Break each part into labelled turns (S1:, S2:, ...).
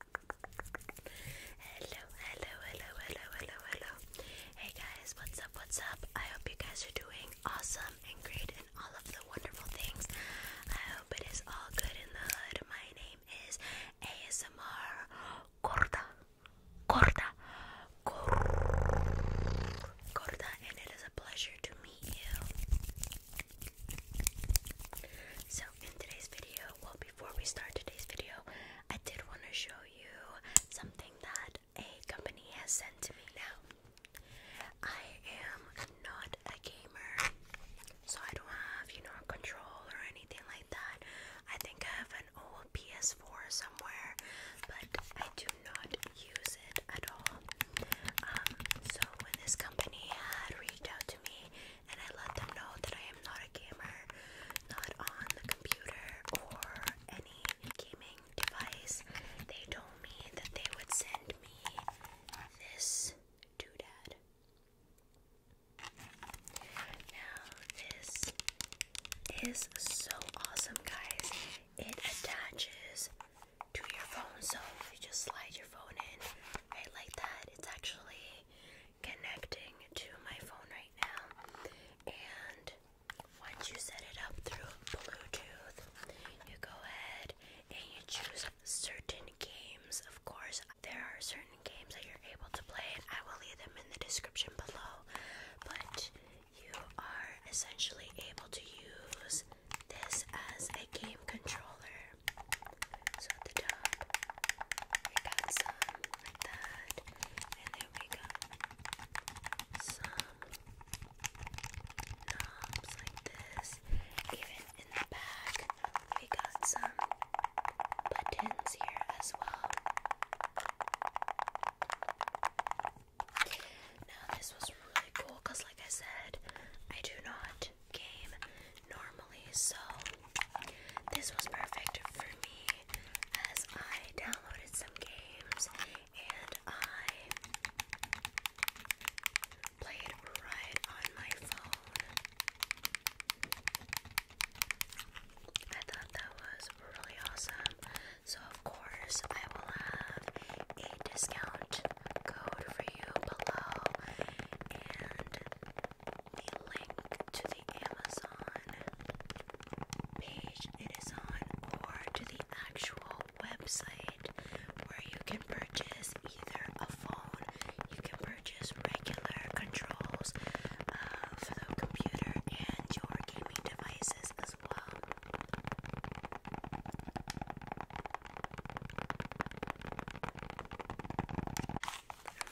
S1: Hello, hello, hello, hello, hello, hello. Hey guys, what's up, what's up? I hope you guys are doing awesome and great and all of the wonderful things. I hope it is all good in the hood. My name is ASMR Corta. Corta. Corta, and it is a pleasure to meet you. So, in today's video, we'll before we start today's video, I did want to show you something that a company has sent to me now. I am not a gamer, so I don't have, you know, control or anything like that. I think I have an old PS4 somewhere, but I do not use it at all. Um, so when this company had reached out to me, and I let them know that I am not a gamer, not on the computer or any gaming device. They told me that they would send me this doodad. Now, this is so awesome, guys. It attaches to your phone, so you just slide your phone in right like that. It's actually connecting to my phone right now. And once you set it up through Bluetooth, you go ahead and you choose certain games. Of course, there are certain games that you're able to play, I will leave them in the description below. But you are essentially able to use this as a game controller so at the top, we got some like that, and then we got some knobs like this. Even in the back, we got some buttons here as well. Now, this was really cool because, like I said, I do not game normally, so this was perfect for me as I downloaded some games and I played right on my phone. I thought that was really awesome. So, of course, I will have a discount code for you below and the link to the Amazon page it is on or to the actual website where you can purchase either a phone, you can purchase regular controls uh, for the computer and your gaming devices as well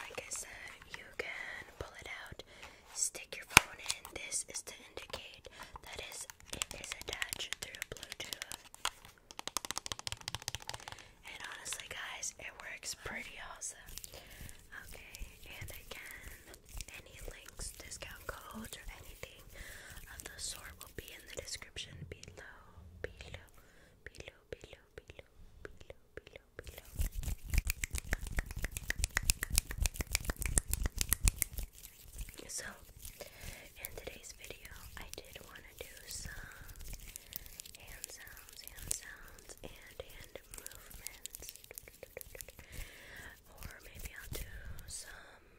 S1: like I said, you can pull it out, stick your phone in. This is to indicate that is it is attached through Bluetooth. And honestly, guys, it works pretty awesome. Okay, and again, any links, discount codes, or anything of the sort be in the description below, below, below, below, below, below, below, below. So, in today's video, I did want to do some hand sounds, hand sounds, and hand movements. Or maybe I'll do some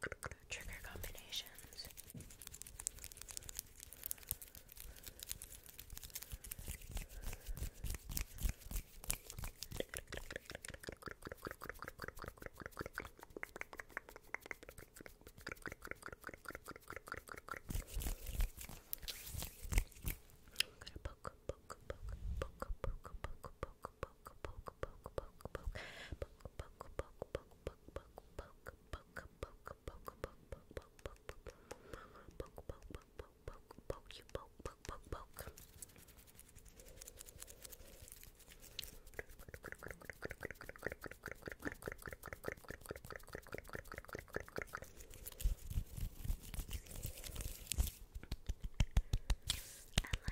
S1: trigger combinations poke, poke, poke, poke, poke, poke, poke, poke, poke, poke, poke, poke, poke, poke, you poke, poke, poke, poke. I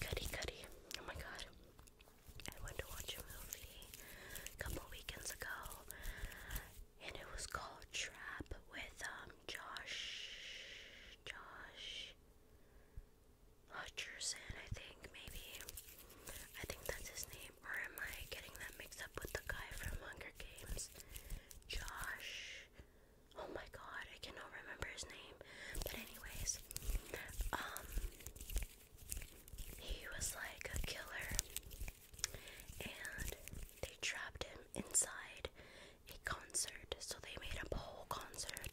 S1: Goody, goody. Oh my god. I went to watch a movie a couple weekends ago, and it was called Trap with um Josh, Josh, Hutcherson, I think, maybe. I think that's his name. Or am I getting that mixed up with the guy from Hunger Games? Josh. Oh my god, I cannot remember his name. But, anyways, um, he was like a killer. And they trapped him inside a concert. So, they made a whole concert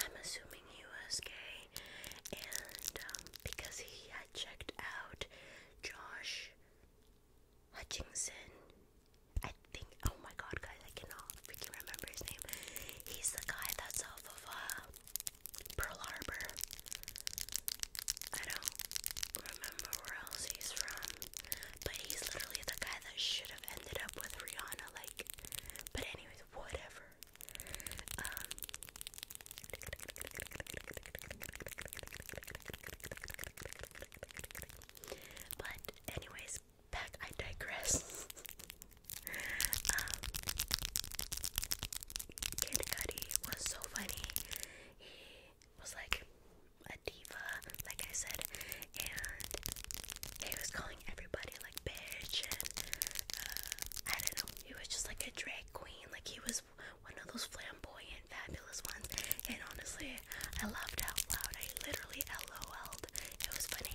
S1: I'm assuming he was gay, and um, because he had checked out Josh Hutchinson, I think. Oh my God, guys, I cannot freaking remember his name. He's the guy that's off of uh, Pearl Harbor. I don't remember where else he's from, but he's literally the guy that should have ended up with Rihanna. Like, but anyways, whatever but anyways, back I digress. um, was so funny. He was like a diva, like I said, and he was calling everybody like bitch and uh, I don't know. He was just like a drag queen. Like he was one of those flamboyant, fabulous ones. And honestly, I laughed out loud. I literally LOL'd. It was funny.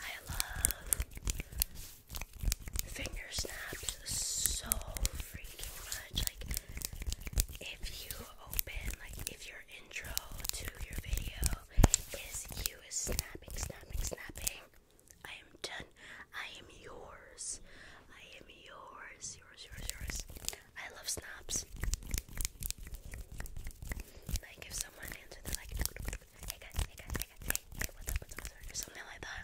S1: I love finger snaps so freaking much. Like, if you open, like, if your intro to your video is you is snapping, snapping, snapping, I am done. I am yours. I am yours, yours, yours, yours. I love snaps. Like, if hey guys, hey guys, hey guys, hey, what's up, what's up, what's up, or something like that.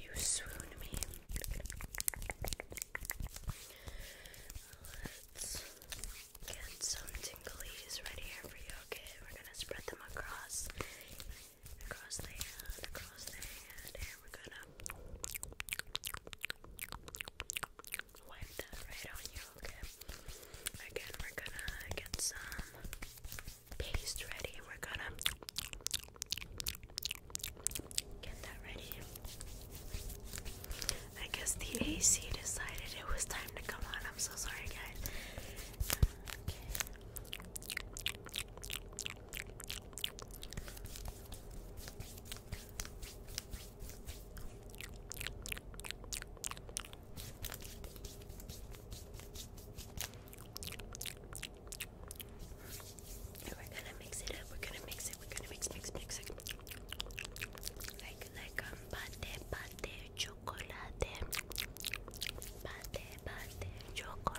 S1: You swooned me. Let's get some tinglies right here for you. Okay, we're gonna spread them across, across the hand, across the and we're gonna wipe that right on you, okay? Again, we're gonna get some paste ready. We're gonna get that ready. I guess the AC decided it was time to come on. I'm so sorry, guys. And we're gonna mix it up. We're gonna mix it. We're gonna mix, mix, mix, mix. Like, like, um, pate, pate, chocolate. Pate, pate, chocolate.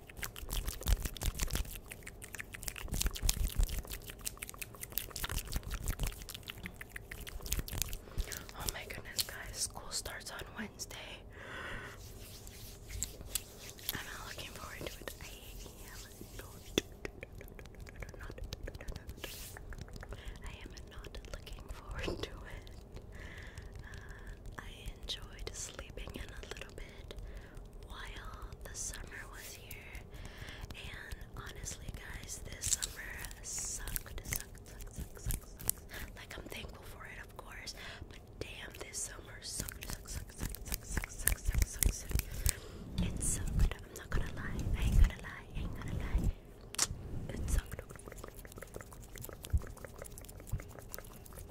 S1: Oh my goodness, guys, school starts on Wednesday. I'm not looking forward to it. I am not, I am not looking forward to it. Uh, I enjoyed sleeping in a little bit while the summer was here. And honestly, guys, this summer sucked, sucked, sucked, sucked, sucked, sucked. Like, I'm thankful for it, of course, but damn, this summer sucked, sucked, sucked, sucked, sucked, sucked, sucked, sucked, It sucked. I'm not gonna lie. I ain't gonna lie. I ain't gonna lie. It sucked.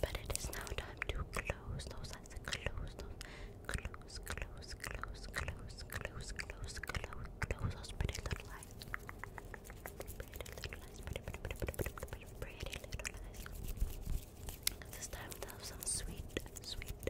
S1: But it is now time to close those eyes. Close those. Close, close, close, close, close, close, close, close those pretty little eyes. Pretty little eyes. Pretty, pretty, pretty, pretty, pretty, pretty, pretty little eyes. This time we'll have some sweet, sweet,